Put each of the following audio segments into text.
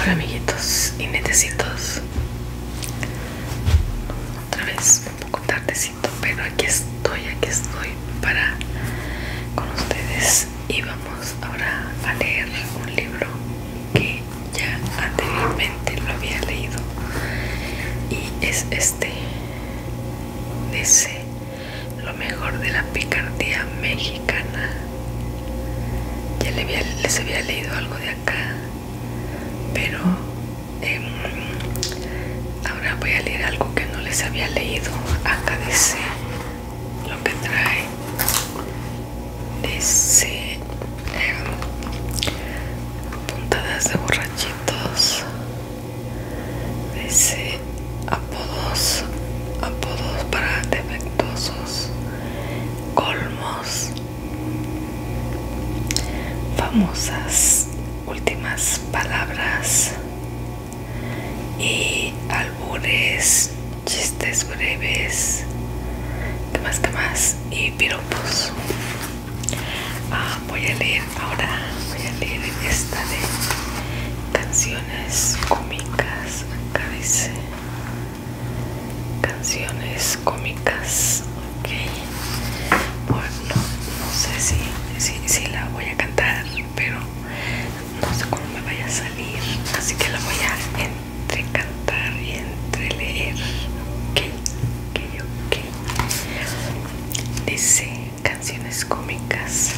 Hola amiguitos y netecitos Otra vez un poco tardecito Pero aquí estoy, aquí estoy para con ustedes Y vamos ahora a leer un libro que ya anteriormente lo había leído Y es este D.C lo mejor de la picardía mexicana. Ya les había, leído algo de acá, pero em, ahora voy a leer algo que no les había leído. Acá dice lo que trae. Dice em, puntadas de borrachitos. Dice apodos, apodos para defectuosos, colmos, famosas últimas palabras y albures, chistes breves, temas más que más y piropos. Ah, voy a leer ahora, voy a leer esta de canciones cómicas acá dice eh, canciones cómicas, ok. Bueno, no sé si, si, la voy a cantar, pero no sé cómo me vaya a salir, así que la voy a entrecantar cantar y entre leer, ok, ok, ok. Dice canciones cómicas.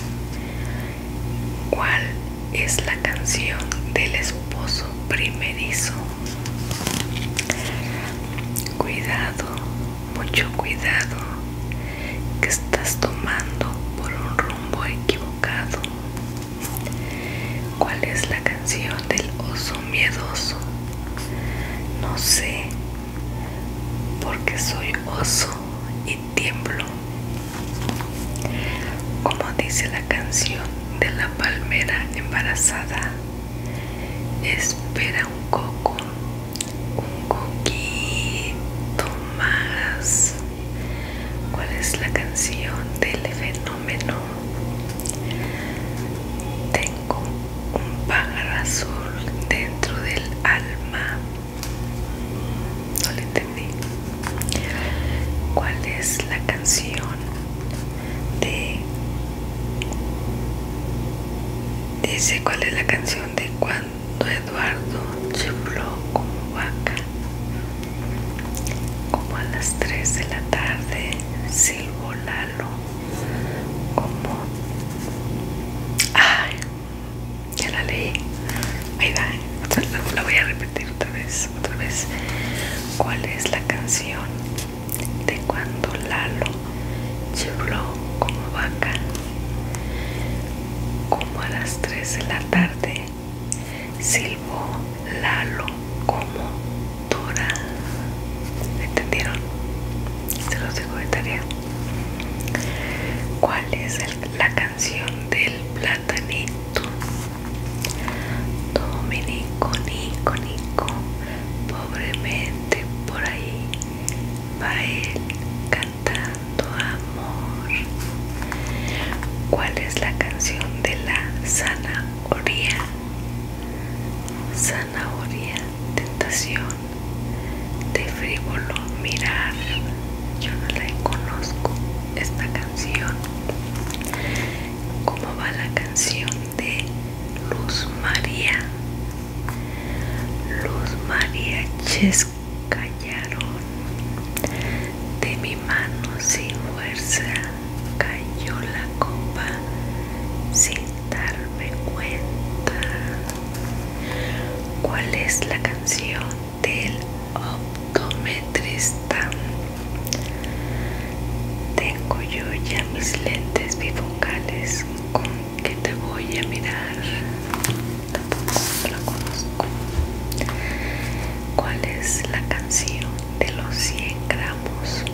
¿Cuál es la canción del esposo primerizo? Cuidado, mucho cuidado, que estás tomando por un rumbo equivocado. ¿Cuál es la canción del oso miedoso? No sé, porque soy oso y como dice la canción de la palmera embarazada, espera un coco, un coquito más. ¿Cuál es la canción del fenómeno? Tengo un pájaro azul dentro del alma no le entendí. ¿Cuál es la canción de Dice cuál es la canción de cuando Eduardo chifló como vaca? Como a las 3 de la tarde, silbo Lalo. Como. Ay, ya la leí. Ahí va. la, voy a repetir otra vez. Otra vez. ¿Cuál es la canción de cuando Lalo lloró como vaca? Como a las 3 de la tarde. Silbo Lalo como Dora. ¿Entendieron? Se los dejo de tarea. ¿Cuál es la canción? canción del platanito Dominico, Nico, Nico Pobremente por ahí va él cantando amor ¿Cuál es la canción de la zanahoria? Zanahoria, tentación de frívolo mirar yo no la conozco esta canción cómo va la canción de Luz María Luz María Chescallaron de mi mano sin fuerza cayó la copa sin darme cuenta cuál es la canción del optometrista. Tengo yo ya mis lentes bifocales con que te voy a mirar. Tampoco la conozco. ¿Cuál es la canción de los 100 gramos?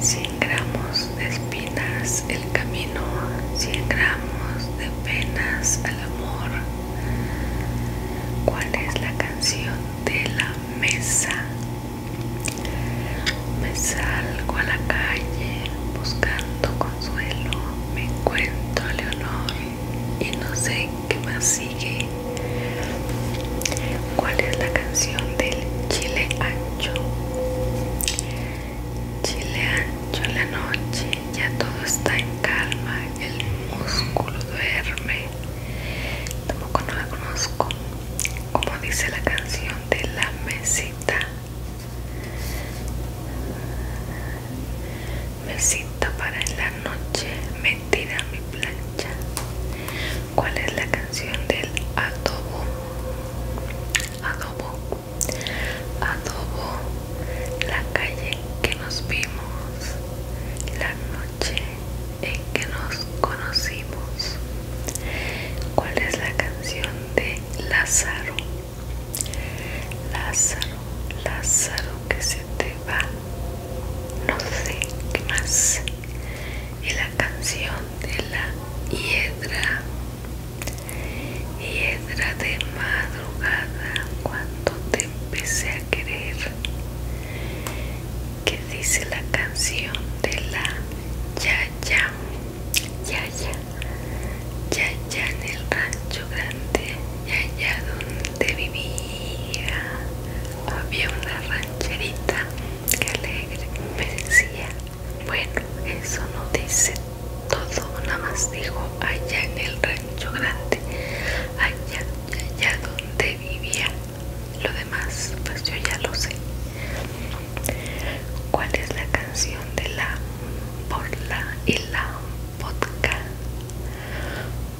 100 gramos de espinas el camino 100 gramos de penas al amor cuál es la canción de la mesa me salgo a la calle buscando consuelo me encuentro a Leonor y no sé qué más sigue cuál es la canción del chile ancho Chile ancho en la noche, ya todo está en calma, el músculo duerme. Tampoco no la conozco, como dice la canción de la mesita. Mesita para en la noche, tira mi plancha. ¿Cuál es la canción del adobo? Adobo adobo la calle que nos vimos la noche en que nos conocimos cuál es la canción de Lázaro Lázaro Lázaro que se te va no sé qué más y la canción de la hiedra y era de madrugada cuando te empecé a querer que dice la canción de la Yaya Yaya Yaya en el rancho grande Yaya donde vivía había una rancherita que alegre me decía bueno, eso no dice todo, nada más dijo allá en el rancho grande, allá, allá donde vivía. Lo demás, pues yo ya lo sé. ¿Cuál es la canción de la borla y la vodka?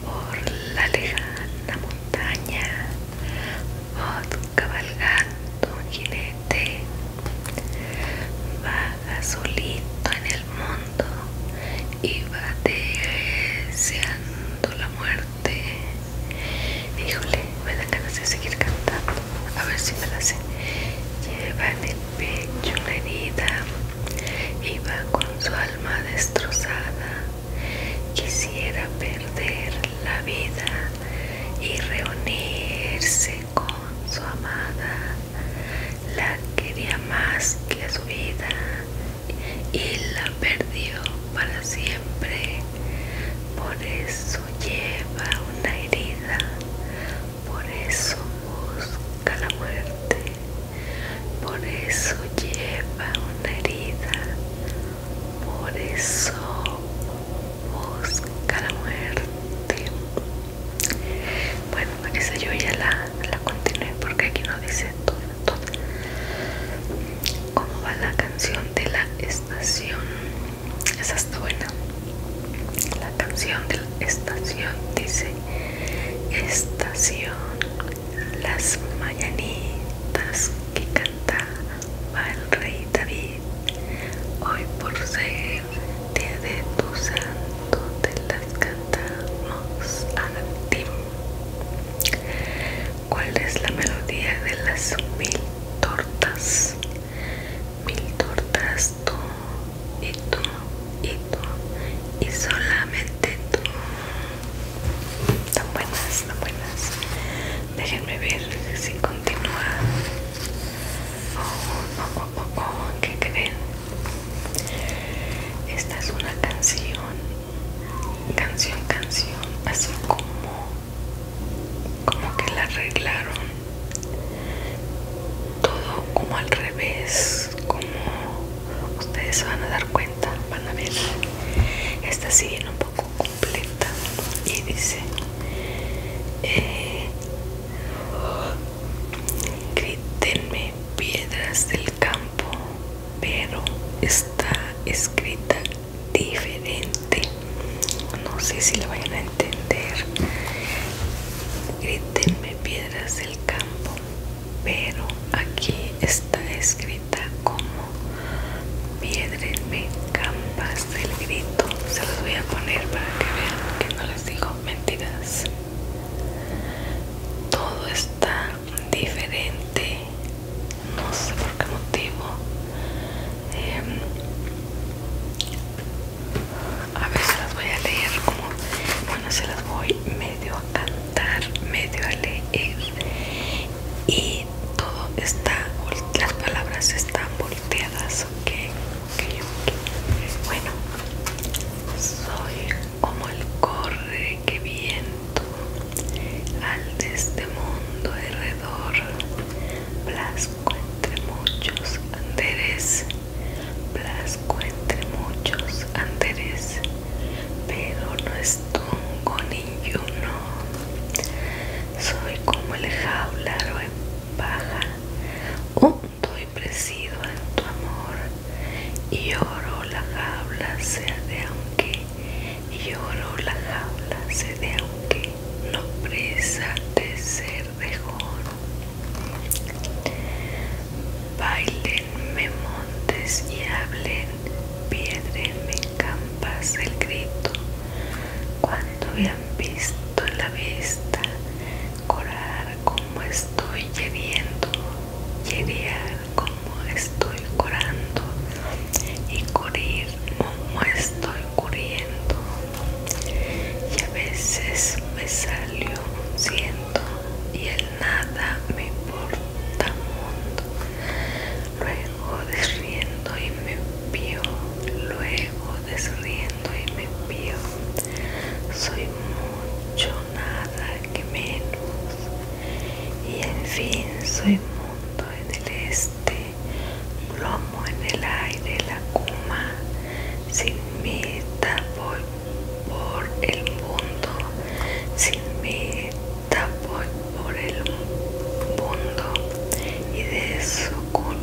Por la lejana montaña, vodka cabalgando Va solito en el mundo y va deseando la muerte. Híjole, me da ganas de seguir cantando. A ver si me la sé. Lleva en el pecho una herida y va con su alma destrozada. Quisiera perder la vida y reunirse con su amada, la quería más que a su vida y la perdió para siempre. Por eso lleva una herida, por eso busca la muerte, por eso lleva una herida, por eso busca la muerte. Bueno, esa yo ya la, continué porque aquí no dice todo, todo. ¿Cómo va la canción de la estación? Esa está buena. La canción de la estación dice Estación, las mañanitas que va el rey David hoy por ser día de tu santo te las cantamos a ti cuál es la melodía de las mil tortas mil tortas tú y tú y tú y solamente tú tan buenas tan buenas déjenme ver si continúa oh, oh, poco ¿qué creen? Esta es una canción, canción, canción, así como, como que la arreglaron todo como al revés, como ustedes se van a dar cuenta, van a ver. Esta sigue un poco completa y dice. Eh, Grítenme piedras del campo, pero está escrita diferente. No sé si lo van a entender. Grítenme piedras del campo, pero aquí está escrita como piedrenme campas el grito se los voy a poner para que vean que no les digo mentiras. Todo está diferente, no sé por qué motivo. Em, a veces las voy a leer como, bueno, se las voy medio a cantar, medio a leer y todo está, las palabras están volteadas bueno soy como el corre que viento al de este mundo alrededor Blasco entre muchos anderes blasco entre muchos anderes pero no tongo ni uno soy como el jaularo en paja un oh, doy presido en tu amor, y oro la jaula sea de aunque, y oro la jaula se de aunque, no presa de ser mejor, Bailen, me montes y hablen, piedren, me campas el grito, cuando visto visto la vista corar como estoy lloviendo llegar como estoy corando y correr como estoy corriendo y a veces me salió un ciento y el nada me importa mundo luego desriendo y me vio luego desriendo y me envío. Soy mucho nada que menos. Y en fin, soy mundo en el este, lomo en el aire, la cuma. Sin mí voy por el mundo. Sin mí voy por el mundo. Y de su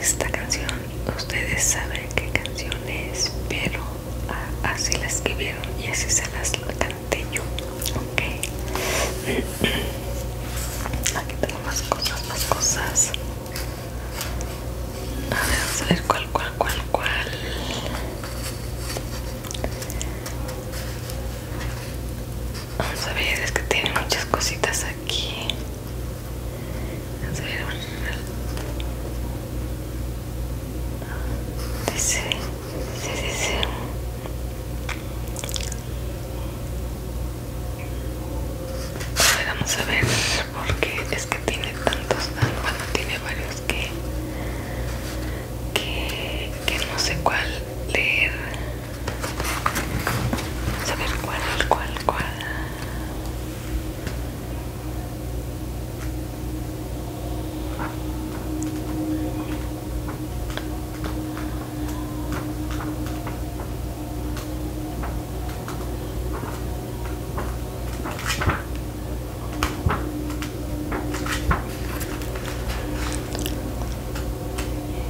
esta canción ustedes saben qué canción es pero ah, así la escribieron y así se las canté yo ok aquí tengo más cosas más cosas a ver vamos a ver cuál cuál cuál cuál Vamos a ver, es que tiene muchas cositas aquí. A vamos a ver porque es que tiene tantos, ah, bueno, tiene varios que no sé cuál leer. Vamos a ver cuál, cuál, cuál.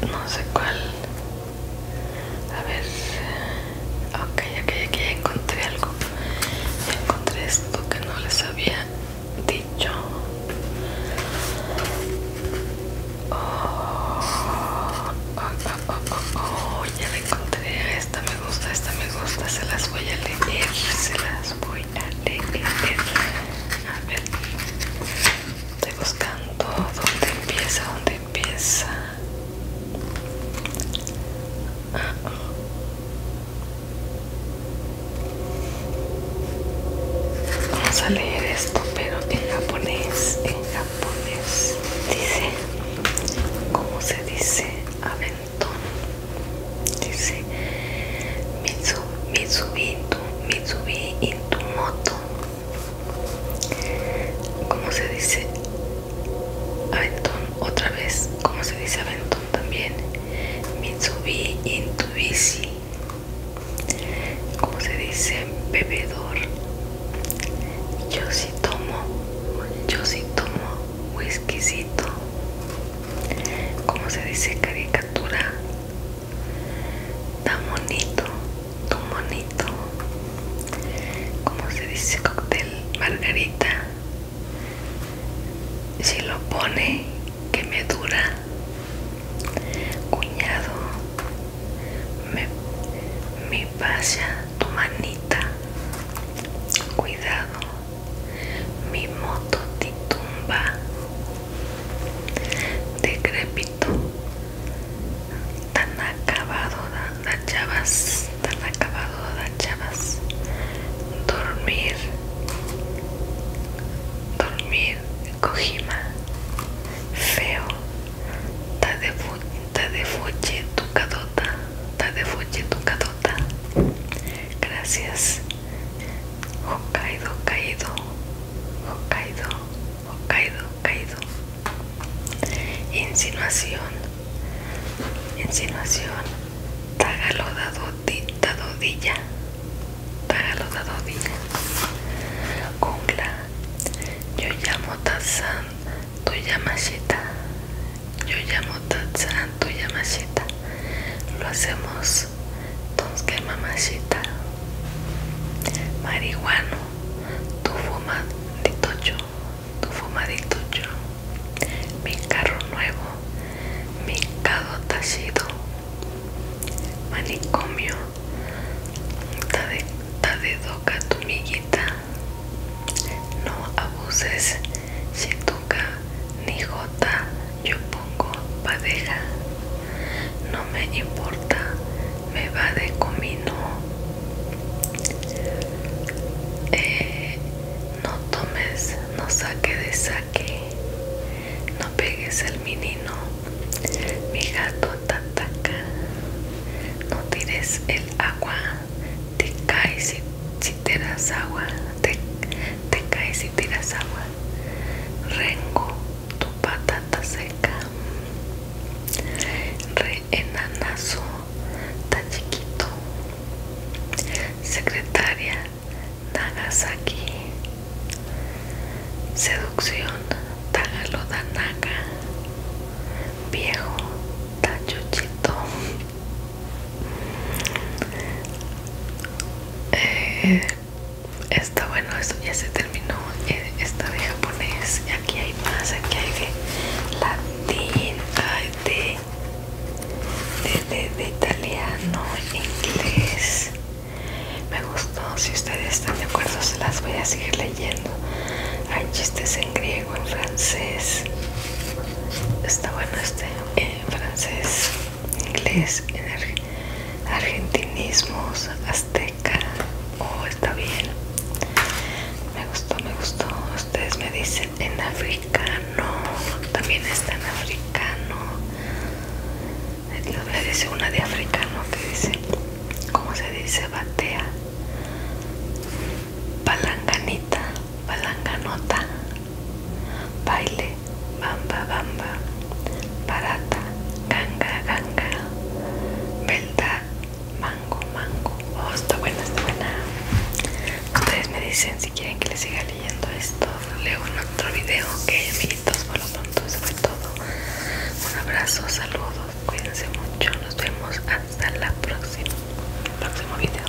que no sé cuál. A ver. Ok, ok, aquí ya encontré algo. encontré esto que no les había dicho. Oh, oh, oh, oh, ya la encontré. Esta me gusta, esta me gusta. Se las voy a leer. Se las voy a ver, estoy buscando donde empieza, donde empieza. Ah. Vamos a leer esto, pero en japonés, en japonés. Dice, ¿cómo se dice? Aventón. Dice, Mitsu Mitsubishi Mitsubi, tu, tu moto. ¿Cómo se dice? Aventón, otra vez, ¿cómo se dice aventón también? Mitsubi in tu bici. ¿Cómo se dice? Bebedor. Yo sí tomo, yo sí tomo whiskycito. ¿Cómo se dice caricatura? tan bonito, tu monito Como se dice cóctel margarita. Si lo pone, que me dura. Cuñado, me, me pasa tu manita. Cuidado, mi moto te tumba decrépito tan acabado las chavas tan acabado las chavas dormir dormir cojima feo ta de fuche tu cadota ta de fuche tu cadota gracias Hokkaido, caído, Hokkaido, caído, caído. Insinuación, insinuación, dodilla. dadodilla, dado dadodilla. Kungla. yo llamo Tatsan, tú llamas Yo llamo Tatsan, tú llamas lo hacemos que mamacita marihuano tu de tocho tu fumadito tocho mi carro nuevo mi cado tallido manicomio tade, tade doca tu no abuses si toca ni jota yo pongo padeja. No me importa, me va de comino. Eh, no tomes, no saque de saque. No pegues el menino. Mi gato tataca. No tires el agua. Te cae si, tiras agua. Te, te caes si tiras agua. Rengo, tu patata seca. Re enanazo, tan chiquito. Secretaria, Nagasaki. Seducción, naka Viejo, tachuchito. Eh, está bueno esto ya se terminó eh, esta de japonés aquí hay más aquí hay de latín de de, de italiano inglés me gustó si ustedes están de acuerdo se las voy a seguir leyendo hay chistes en griego en francés está bueno este eh, en francés inglés, argentinismos, azteca. Oh, está bien. Me gustó, me gustó. Ustedes me dicen en africano. También está en africano. Me dice una de africano que dice, ¿cómo se dice? Batea. Palanganita, palanganota. Baile, bamba, bamba, barata, ganga, ganga, verdad, mango, mango. Oh, está buena, está buena. Ustedes me dicen si quieren que les siga leyendo esto leo en otro video. Ok, amiguitos, por lo pronto eso fue todo. Un abrazo, saludos, cuídense mucho. Nos vemos hasta la próxima, próximo video.